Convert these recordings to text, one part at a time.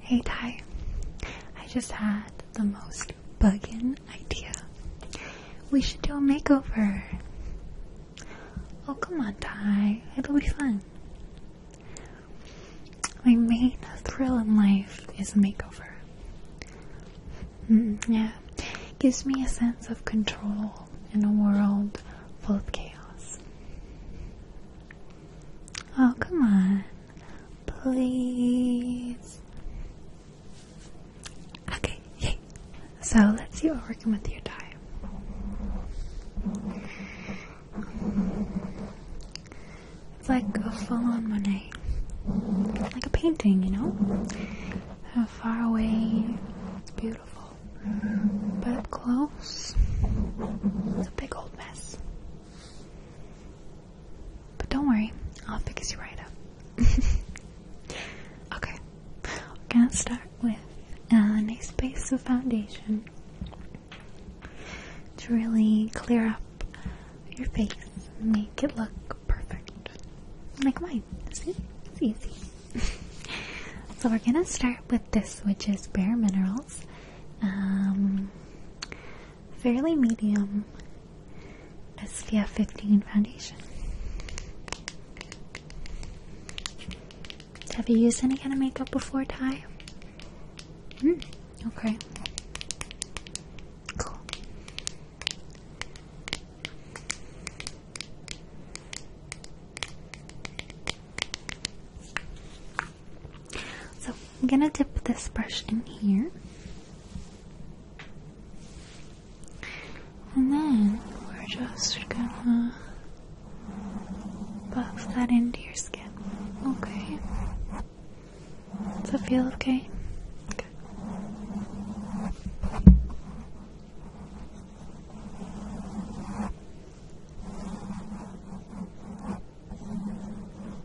Hey Ty, I just had the most bugging idea. We should do a makeover. Oh, come on, Ty. It'll be fun. My main thrill in life is a makeover. Mm, yeah, gives me a sense of control in a world full of chaos. Oh, come on. Please. Okay, So let's see what we're working with your dye. It's like a full on Monet. Like a painting, you know? How far away, it's beautiful. But up close, it's a big old mess. But don't worry, I'll fix you right up. okay, we're gonna start with a nice base of foundation to really clear up your face make it look perfect. Like mine. See? It's easy. so we're gonna start with this, which is Bare Minerals. Um, fairly medium SPF 15 foundation. Have you used any kind of makeup before, Ty? Mm, okay. Cool. So I'm gonna dip this brush in here. And then we're just gonna buff that into your skin. Okay. Does that feel okay?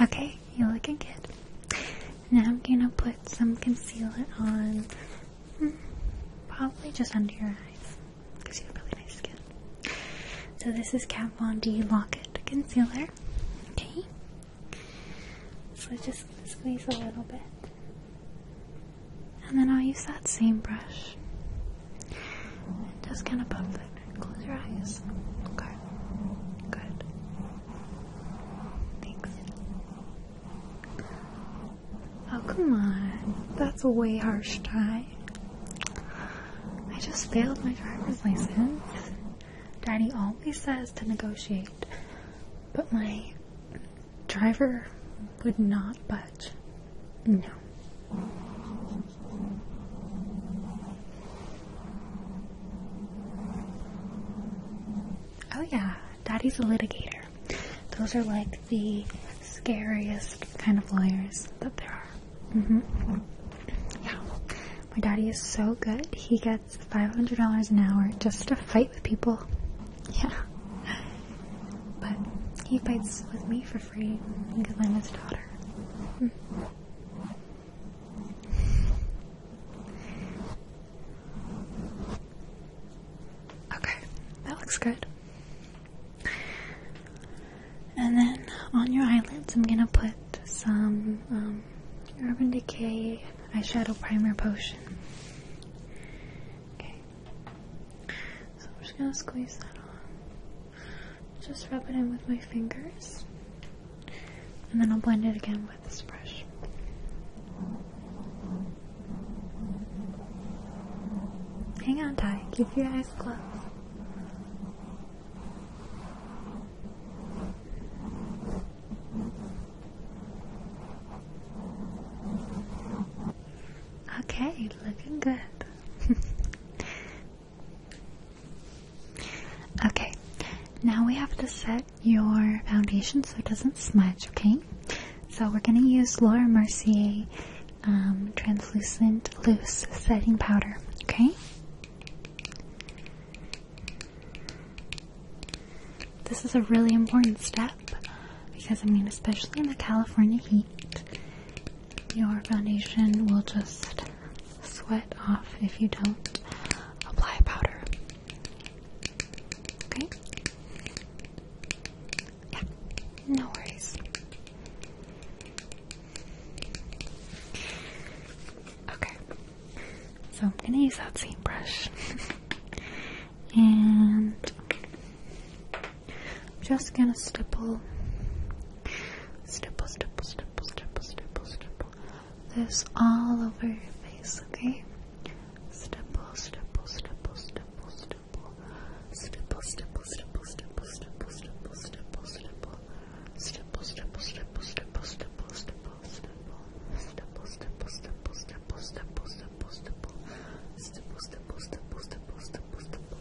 Okay, you're good. Now I'm gonna put some concealer on, hmm, probably just under your eyes, because you have really nice skin. So this is Kat Von D Locket Concealer. Okay, so just squeeze a little bit, and then I'll use that same brush and just kind of buff it. Close your eyes. Okay. Good. Thanks. Oh, come on. That's a way harsh tie. I just failed my driver's license. Daddy always says to negotiate, but my driver would not budge. No. Oh, yeah, Daddy's a litigator. Those are like the scariest kind of lawyers that there are. Mm-hmm. Yeah, my daddy is so good. He gets $500 an hour just to fight with people. Yeah. But he fights with me for free because I'm his daughter. Hmm. Okay, that looks good. And then on your eyelids, I'm gonna put some um, Urban Decay eyeshadow primer potion. Okay, so I'm just gonna squeeze that on just rub it in with my fingers, and then I'll blend it again with this brush. Hang on, Ty. Keep your eyes closed. Okay, looking good. Okay, now we have to set your foundation so it doesn't smudge, okay? So we're going to use Laura Mercier um, Translucent Loose Setting Powder, okay? This is a really important step because, I mean, especially in the California heat, your foundation will just sweat off if you don't apply powder. Okay? Yeah, no worries. Okay, so I'm gonna use that same brush. and I'm just gonna stipple Stipple, stipple, stipple, stipple, stipple, stipple. This all over your face, okay? Stipple, stipple, stipple, stipple, stipple. Stipple, stipple, stipple, stipple, stipple, stipple, stipple, stipple. Stipple, stipple, stipple, stipple, stipple, stipple, stipple. Stipple, stipple, stipple, stipple, stipple, stipple, stipple. Stipple, stipple, stipple, stipple, stipple, stipple.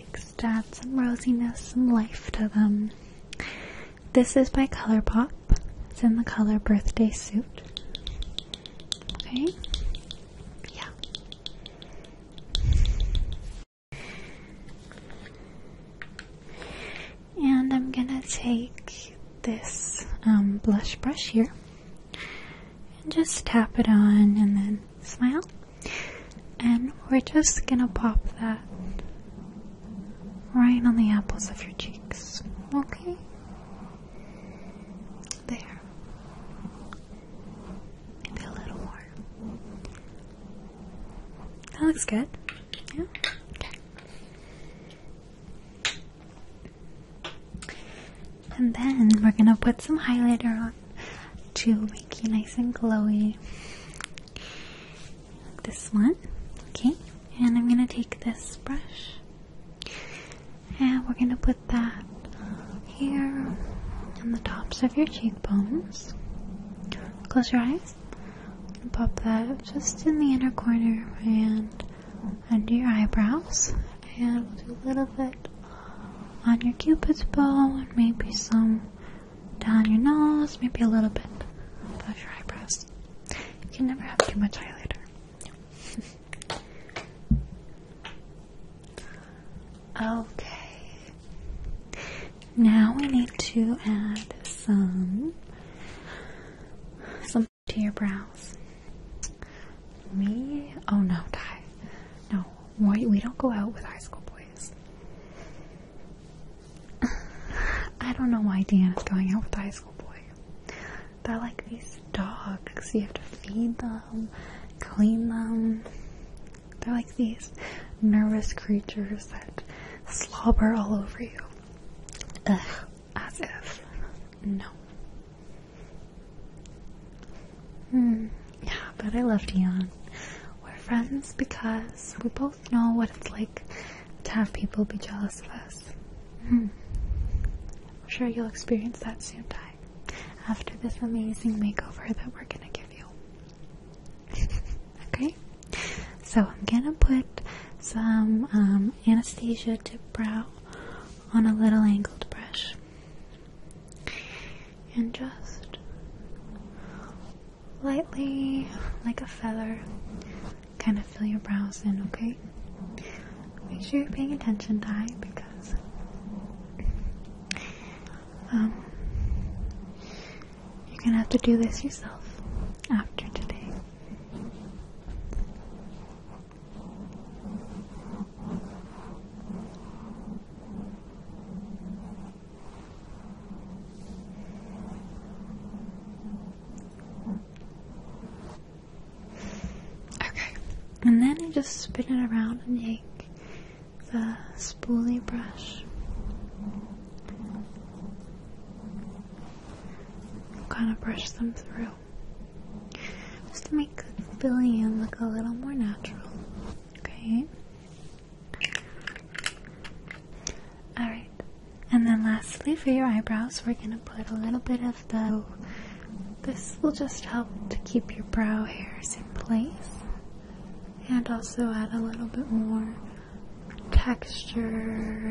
cheeks to add some rosiness and life to them. This is by Colourpop. It's in the color Birthday Suit. Okay? Yeah. And I'm gonna take this um, blush brush here and just tap it on and then smile. And we're just gonna pop that right on the apples of your cheeks. Okay? There. Maybe a little more. That looks good. Yeah? Okay. And then we're gonna put some highlighter on to make you nice and glowy. Like this one, okay? And I'm gonna take this brush and we're gonna put that here on the tops of your cheekbones. Close your eyes and pop that just in the inner corner and under your eyebrows. And we'll do a little bit on your cupid's bow and maybe some down your nose, maybe a little bit above your eyebrows. You can never have too much highlighter. okay. Now we need to add some some to your brows. Me? Oh no, die. No, why we don't go out with high school boys? I don't know why is going out with high school boys. They're like these dogs. You have to feed them, clean them. They're like these nervous creatures that slobber all over you. Ugh, as if. No. Hmm. Yeah, but I love Dion. We're friends because we both know what it's like to have people be jealous of us. Hmm. I'm sure you'll experience that soon, Ty, after this amazing makeover that we're gonna give you. okay? So I'm gonna put some um, anesthesia Anastasia tip brow on a little angled brush and just lightly, like a feather, kind of fill your brows in, okay? Make sure you're paying attention, Ty, because um, you're gonna have to do this yourself after today. Okay, and then you just spin it around and take the spooly brush. Kind of brush them through just to make the filling look a little more natural. Okay. Alright, and then lastly for your eyebrows, we're gonna put a little bit of the. This will just help to keep your brow hairs in place and also add a little bit more texture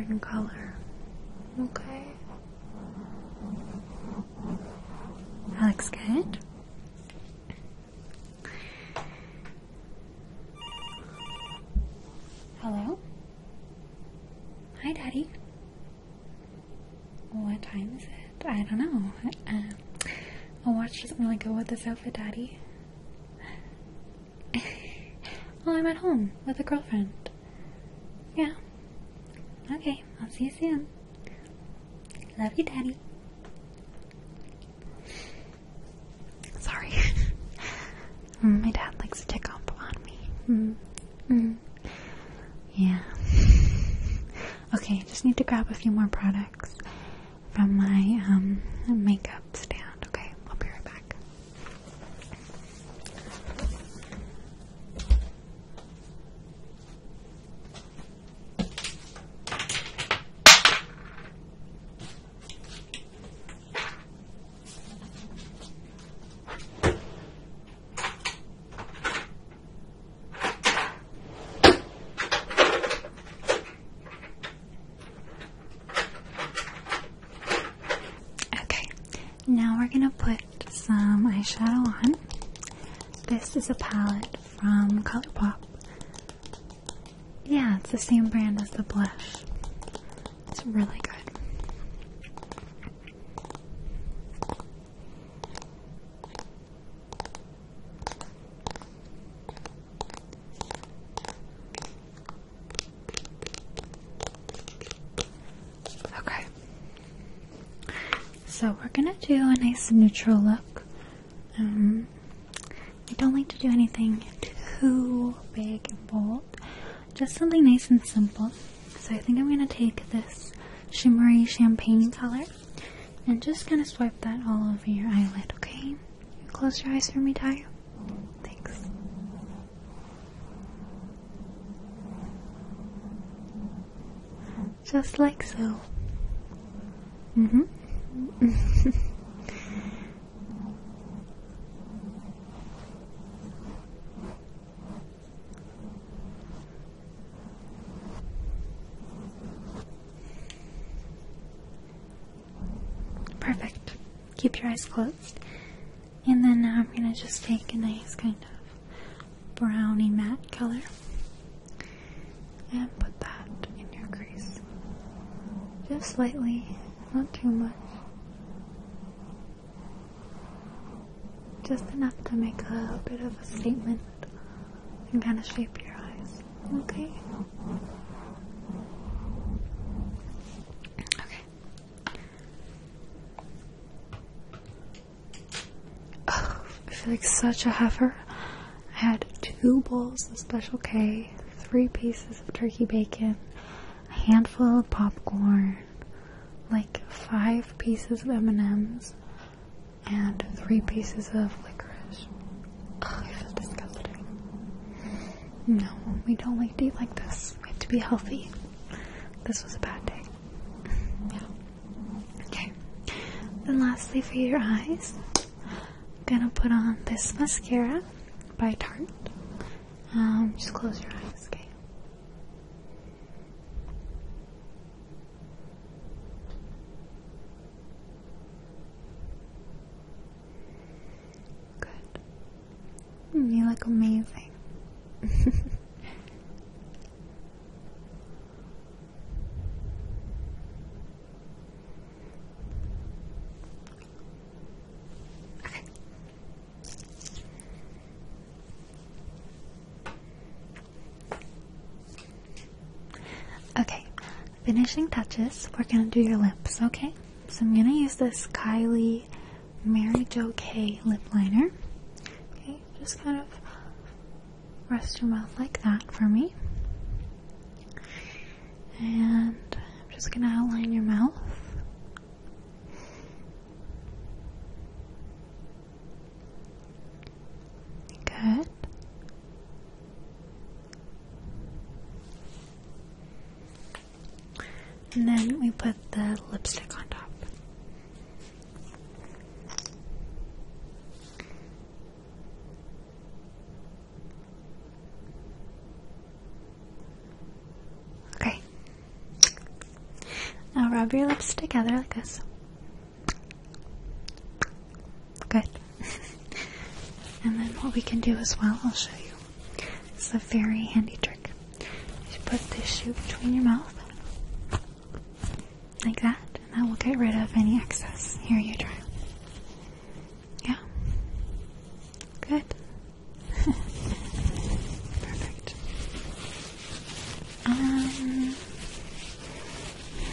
and color. Okay? That looks good. Hello? Hi, Daddy. What time is it? I don't know. Uh, a watch doesn't really go with this outfit, Daddy. well, I'm at home with a girlfriend. Yeah. Okay, I'll see you soon. Love you, Daddy. Sorry. Mm, my dad likes to tick off on me. Mm, mm. Yeah. okay, I just need to grab a few more products from my um, makeup stand. Okay, I'll be right back. Okay, now we're going to put some eyeshadow on. This is a palette from Colourpop. Yeah, it's the same brand as the blush. It's really good. Okay. So we're going to do a nice neutral look I um, don't like to do anything too big and bold, just something nice and simple. So I think I'm going to take this shimmery champagne color and just gonna swipe that all over your eyelid, okay? close your eyes for me, Ty? Thanks. Just like so. Mm-hmm. Perfect. Keep your eyes closed. And then now I'm going to just take a nice kind of browny matte color and put that in your crease. Just slightly, not too much. Just enough to make a bit of a statement and kind of shape your eyes. Okay? Okay. Oh, I feel like such a heifer. I had two bowls of Special K, three pieces of turkey bacon, a handful of popcorn, like five pieces of M&Ms, and three pieces of licorice. Ugh, I feel disgusting. No, we don't like eat like this. We have to be healthy. This was a bad day. yeah. Okay. Then lastly for your eyes, I'm gonna put on this mascara by Tarte. Um, just close your eyes, okay? Good. Mm, you look amazing. Okay. Okay, finishing touches. We're gonna do your lips, okay? So I'm gonna use this Kylie Mary Jo K lip liner. Okay, just kind of rest your mouth like that for me. And I'm just going to outline your mouth. Good. And then we put the lipstick on top. Okay. Now rub your lips together like this. Good. and then what we can do as well, I'll show you. It's a very handy trick. You put this shoe between your mouth, like that, and that will get rid of any excess. Here you try. Yeah. Good. Perfect. Um.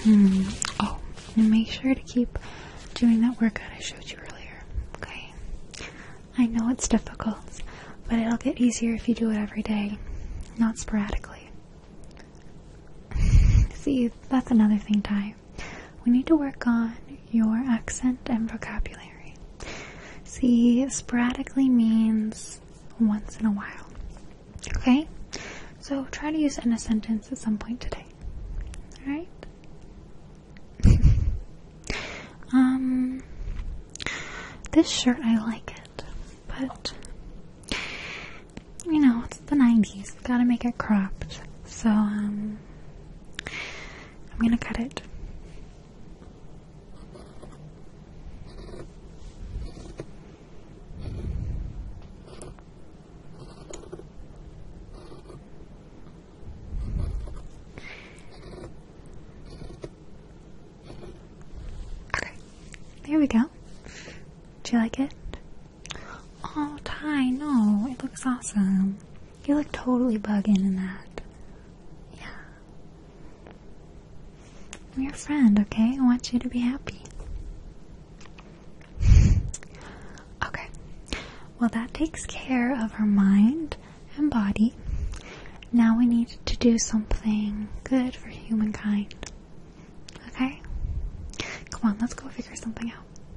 Hmm. Oh, make sure to keep doing that workout I showed you earlier. Okay. I know it's difficult, but it'll get easier if you do it every day, not sporadically. See, that's another thing, Ty we need to work on your accent and vocabulary. See, sporadically means once in a while. Okay? So try to use it in a sentence at some point today. Alright? um, this shirt, I like it, but you know, it's the 90s. Gotta make it cropped. So, um, I'm gonna cut it. Okay, there we go. Do you like it? Oh, Ty, no, it looks awesome. You look totally bugging in that. Yeah. I'm your friend, okay? I want you to be happy. okay. Well, that takes care of her mind and body. Now we need to do something good for humankind. Okay? Come on, let's go figure something out.